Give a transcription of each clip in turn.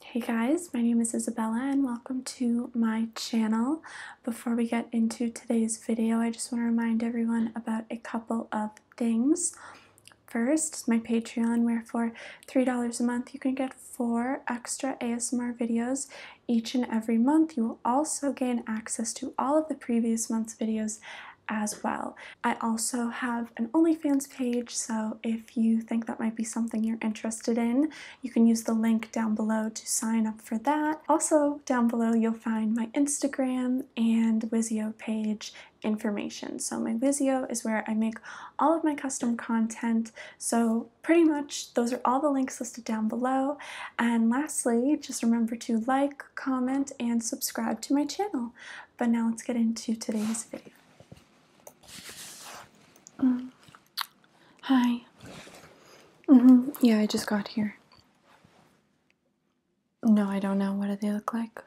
Hey guys, my name is Isabella and welcome to my channel. Before we get into today's video, I just want to remind everyone about a couple of things. First, my Patreon, where for $3 a month you can get four extra ASMR videos each and every month. You will also gain access to all of the previous month's videos as well. I also have an OnlyFans page, so if if you think that might be something you're interested in. You can use the link down below to sign up for that. Also, down below, you'll find my Instagram and Wizio page information. So my Vizio is where I make all of my custom content. So pretty much those are all the links listed down below. And lastly, just remember to like, comment, and subscribe to my channel. But now let's get into today's video. Hi. Mm-hmm. Yeah, I just got here. No, I don't know. What do they look like?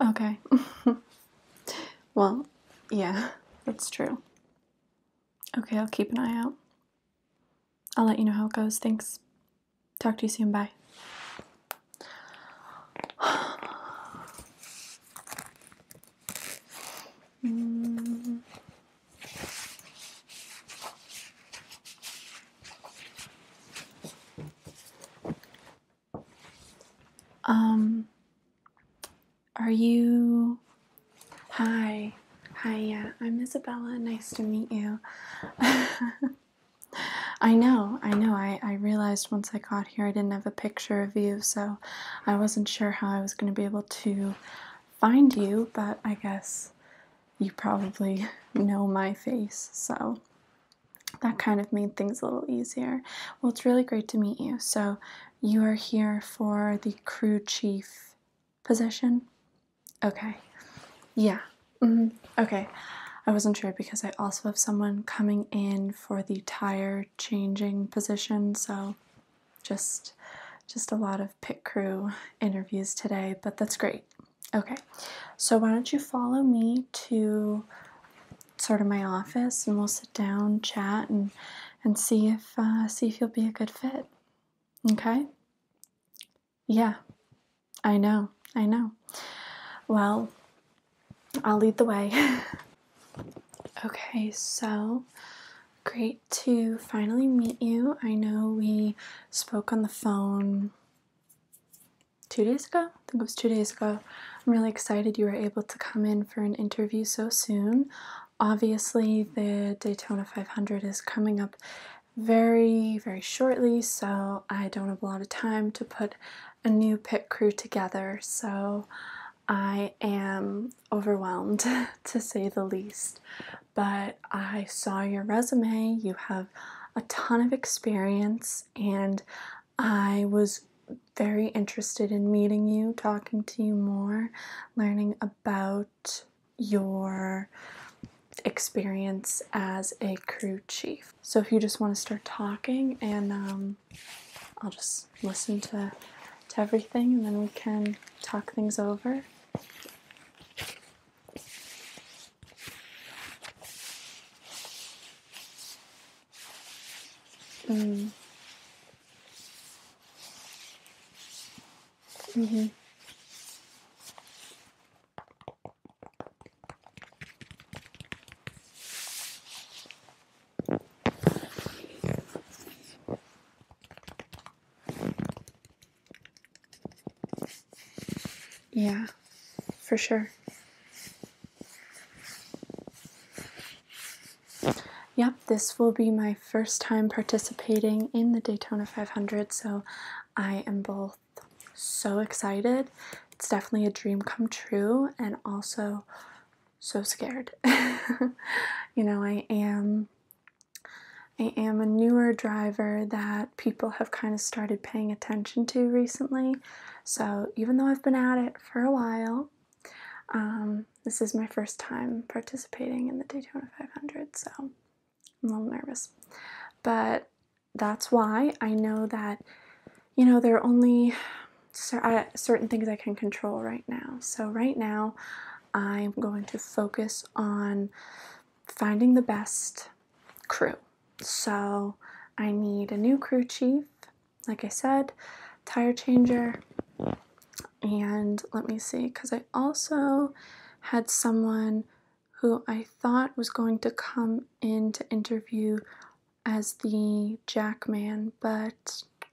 Okay. well, yeah, that's true. Okay, I'll keep an eye out. I'll let you know how it goes. Thanks. Talk to you soon. Bye mm. Um, are you? Hi, hi, yeah, I'm Isabella. Nice to meet you. I know, I know. I, realized once I got here I didn't have a picture of you, so I wasn't sure how I was going to be able to find you, but I guess you probably know my face, so that kind of made things a little easier. Well, it's really great to meet you. So, you are here for the crew chief position? Okay. Yeah. Mm-hmm. Okay. I wasn't sure because I also have someone coming in for the tire changing position. So just just a lot of pit crew interviews today, but that's great. Okay, so why don't you follow me to sort of my office, and we'll sit down, chat, and and see if uh, see if you'll be a good fit. Okay. Yeah, I know, I know. Well, I'll lead the way. okay, so great to finally meet you. I know we spoke on the phone two days ago. I think it was two days ago. I'm really excited you were able to come in for an interview so soon. Obviously, the Daytona 500 is coming up very, very shortly, so I don't have a lot of time to put a new pit crew together, so I am overwhelmed to say the least. But I saw your resume, you have a ton of experience, and I was very interested in meeting you, talking to you more, learning about your experience as a crew chief. So if you just want to start talking, and um, I'll just listen to to everything, and then we can talk things over. Mm. Mm-hmm. Yeah, for sure. Yep, this will be my first time participating in the Daytona 500, so I am both so excited. It's definitely a dream come true, and also so scared. you know, I am. I am a newer driver that people have kind of started paying attention to recently. So, even though I've been at it for a while, um, this is my first time participating in the Daytona 500, so I'm a little nervous. But that's why I know that, you know, there are only uh, certain things I can control right now. So, right now, I'm going to focus on finding the best crew. So, I need a new crew chief, like I said, tire changer, and let me see, because I also had someone who I thought was going to come in to interview as the Jackman, but I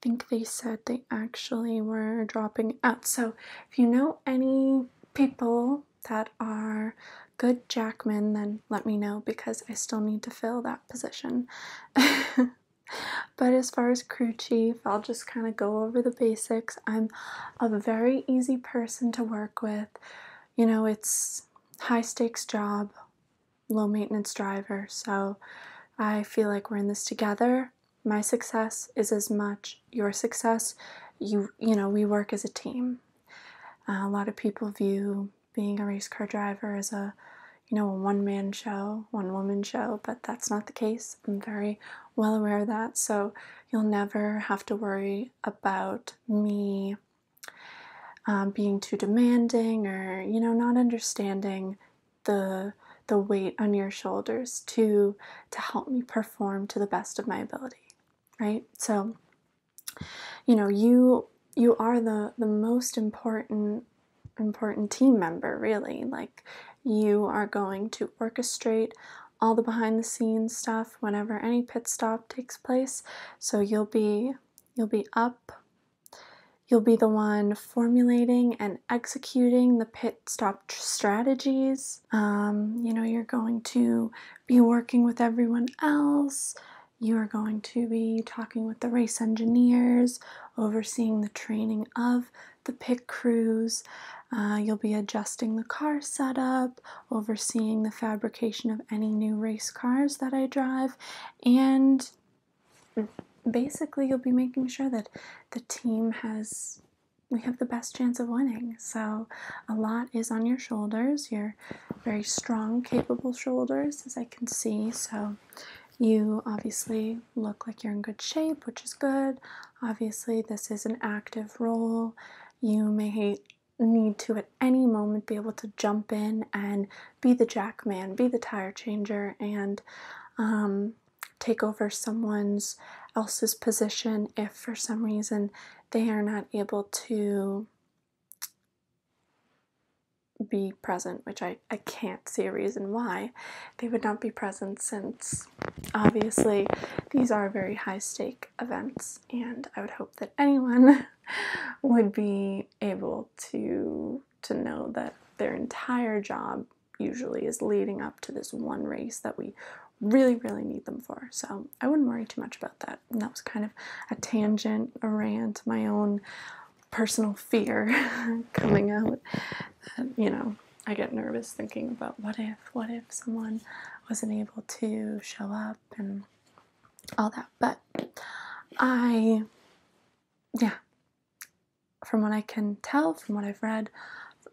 think they said they actually were dropping out. So if you know any people that are good Jackmen, then let me know because I still need to fill that position. but as far as crew chief, I'll just kind of go over the basics. I'm a very easy person to work with you know, it's high stakes job, low maintenance driver. So I feel like we're in this together. My success is as much your success. You you know, we work as a team. Uh, a lot of people view being a race car driver as a you know, a one man show, one woman show, but that's not the case. I'm very well aware of that. So you'll never have to worry about me um, being too demanding or you know not understanding the the weight on your shoulders to to help me perform to the best of my ability right so you know you you are the the most important important team member really like you are going to orchestrate all the behind the scenes stuff whenever any pit stop takes place. So you'll be you'll be up. You'll be the one formulating and executing the pit stop strategies. Um, you know, you're going to be working with everyone else. You are going to be talking with the race engineers, overseeing the training of the pit crews, uh, you'll be adjusting the car setup, overseeing the fabrication of any new race cars that I drive, and basically you'll be making sure that the team has we have the best chance of winning. So a lot is on your shoulders, You're very strong, capable shoulders, as I can see. So you obviously look like you're in good shape, which is good. Obviously, this is an active role. You may need to at any moment be able to jump in and be the jackman, be the tire changer, and um, take over someone's else's position if for some reason they are not able to be present, which I, I can't see a reason why they would not be present since Obviously, these are very high stake events, and I would hope that anyone would be able to to know that their entire job usually is leading up to this one race that we really really need them for so i wouldn't worry too much about that and that was kind of a tangent a rant my own personal fear coming out that, you know I get nervous thinking about what if, what if someone wasn't able to show up and all that. But I, yeah, from what I can tell, from what I've read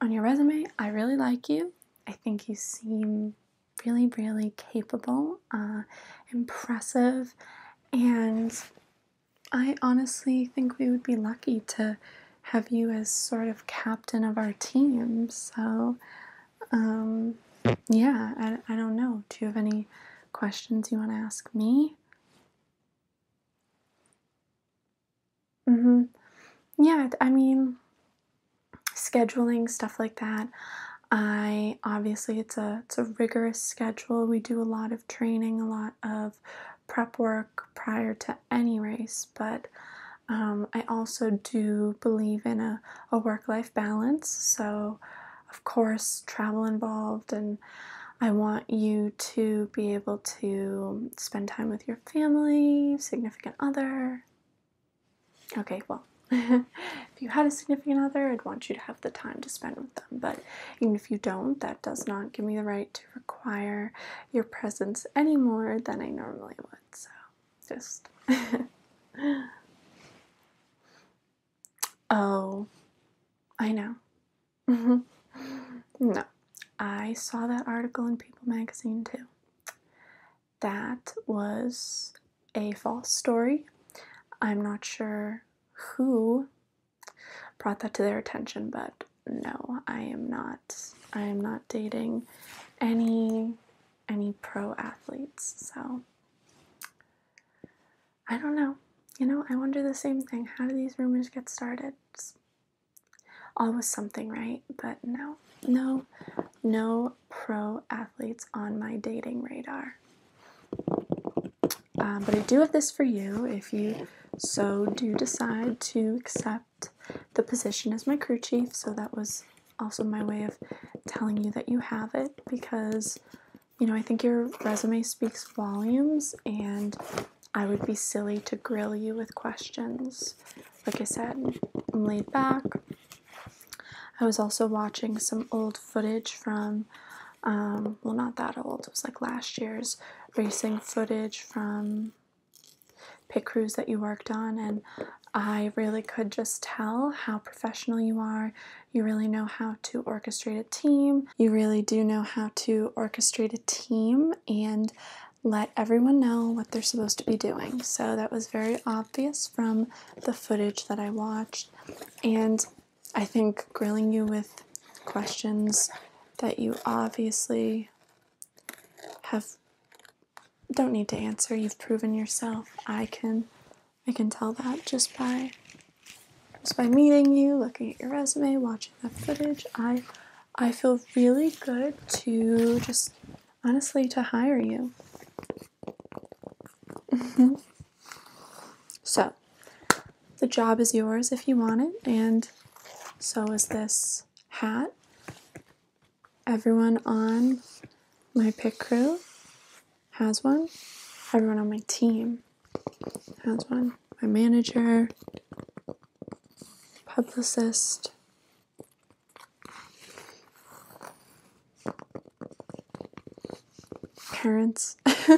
on your resume, I really like you. I think you seem really, really capable, uh, impressive, and I honestly think we would be lucky to have you as sort of captain of our team. So, um, yeah, I, I don't know. Do you have any questions you want to ask me? Mm-hmm. Yeah, I mean, scheduling stuff like that. I obviously it's a it's a rigorous schedule. We do a lot of training, a lot of prep work prior to any race, but um, I also do believe in a, a work life balance. So, of course, travel involved, and I want you to be able to spend time with your family, significant other. Okay, well, if you had a significant other, I'd want you to have the time to spend with them. But even if you don't, that does not give me the right to require your presence any more than I normally would, so just. oh, I know. no, I saw that article in People magazine too. That was a false story. I'm not sure who brought that to their attention, but no, I am not. I am not dating any any pro athletes. So I don't know. You know, I wonder the same thing. How do these rumors get started? always something, right? But no, no, no pro athletes on my dating radar. Uh, but I do have this for you if you so do decide to accept the position is my crew chief, so that was also my way of telling you that you have it because you know, I think your resume speaks volumes, and I would be silly to grill you with questions. Like I said, I'm laid back. I was also watching some old footage from, um, well, not that old, it was like last year's racing footage from Pick crews that you worked on, and I really could just tell how professional you are. You really know how to orchestrate a team. You really do know how to orchestrate a team and let everyone know what they're supposed to be doing. So that was very obvious from the footage that I watched. And I think grilling you with questions that you obviously have don't need to answer. You've proven yourself. I can I can tell that just by just by meeting you, looking at your resume, watching that footage. I I feel really good to just honestly to hire you. so, the job is yours if you want it and so is this hat. Everyone on my pick crew has one. Everyone on my team has one. My manager, publicist, parents.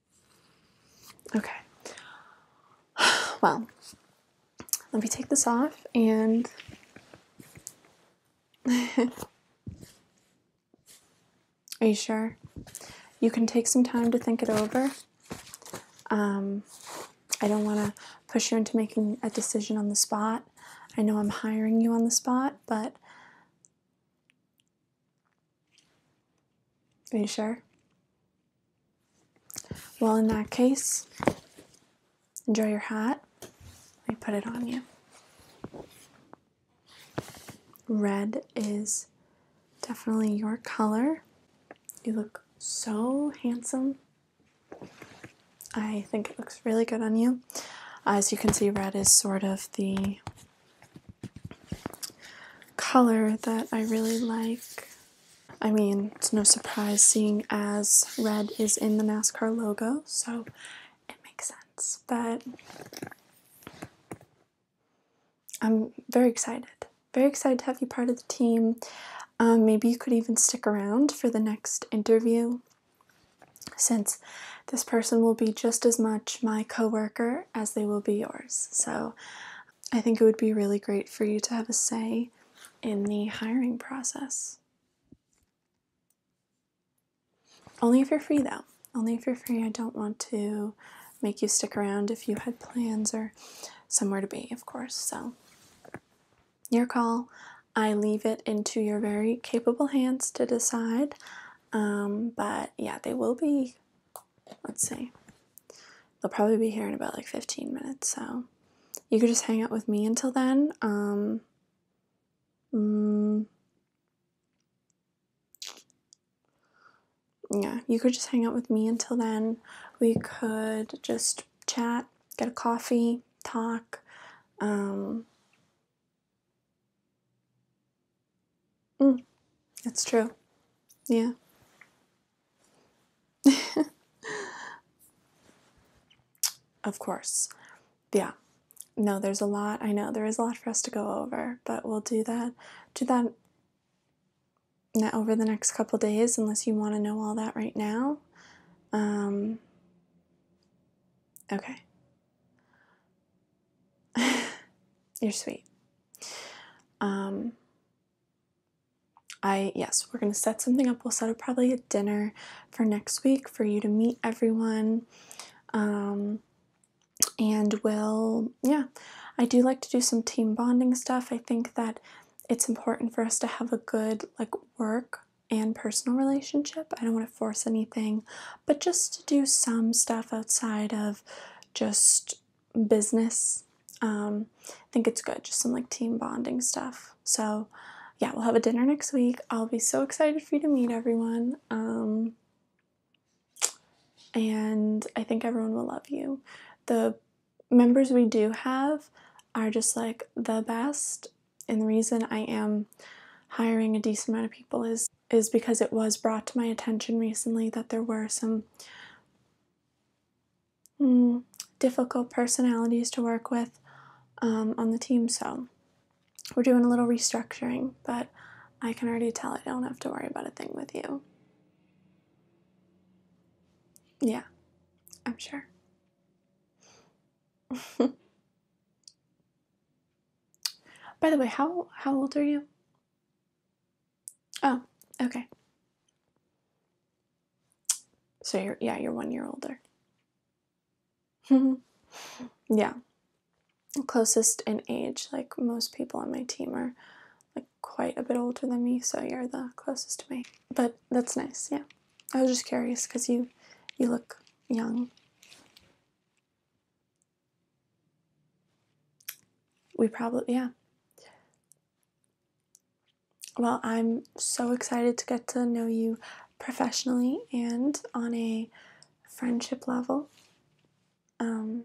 Okay. Well, let me take this off and. Are you sure? You can take some time to think it over. Um, I don't want to push you into making a decision on the spot. I know I'm hiring you on the spot, but are you sure? Well, in that case, enjoy your hat. Let me put it on you. Red is definitely your color. You look so handsome. I think it looks really good on you. As you can see, red is sort of the color that I really like. I mean, it's no surprise seeing as red is in the NASCAR logo, so it makes sense. But I'm very excited. Very excited to have you part of the team. Um, maybe you could even stick around for the next interview since this person will be just as much my coworker as they will be yours. So I think it would be really great for you to have a say in the hiring process. Only if you're free, though. Only if you're free. I don't want to make you stick around if you had plans or somewhere to be, of course. So, your call. I leave it into your very capable hands to decide. Um, but yeah, they will be let's see. They'll probably be here in about like 15 minutes, so you could just hang out with me until then. Um, mm. yeah, you could just hang out with me until then. We could just chat, get a coffee, talk. Um, Mm, that's true. Yeah. of course. Yeah. No, there's a lot. I know there is a lot for us to go over, but we'll do that. Do that Now over the next couple days unless you want to know all that right now. Um, okay. You're sweet. Um, I, yes, we're going to set something up. We'll set up probably a dinner for next week for you to meet everyone. Um, and we'll, yeah, I do like to do some team bonding stuff. I think that it's important for us to have a good, like, work and personal relationship. I don't want to force anything but just to do some stuff outside of just business. Um, I think it's good, just some like team bonding stuff. So, yeah, we'll have a dinner next week. I'll be so excited for you to meet everyone. Um, and I think everyone will love you. The members we do have are just like the best. And the reason I am hiring a decent amount of people is is because it was brought to my attention recently that there were some mm, difficult personalities to work with um, on the team. So we're doing a little restructuring, but I can already tell I don't have to worry about a thing with you. Yeah, I'm sure. By the way, how how old are you? Oh, okay. So you're yeah, you're one year older. yeah. Closest in age, like most people on my team are like quite a bit older than me, so you're the closest to me. But that's nice, yeah. I was just curious because you you look young we probably, yeah. Well, I'm so excited to get to know you professionally and on a friendship level. Um,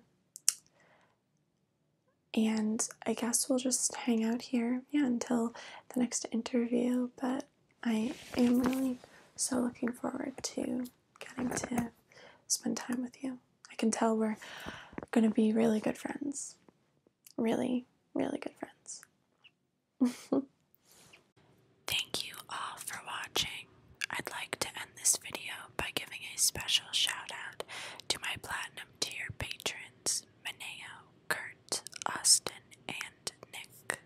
and I guess we'll just hang out here, yeah, until the next interview. But I am really so looking forward to getting to spend time with you. I can tell we're going to be really good friends. Really, really good friends. Thank you all for watching. I'd like to end this video by giving a special shout out to my platinum tier patrons Maneo, Kurt, Austin, and Nick.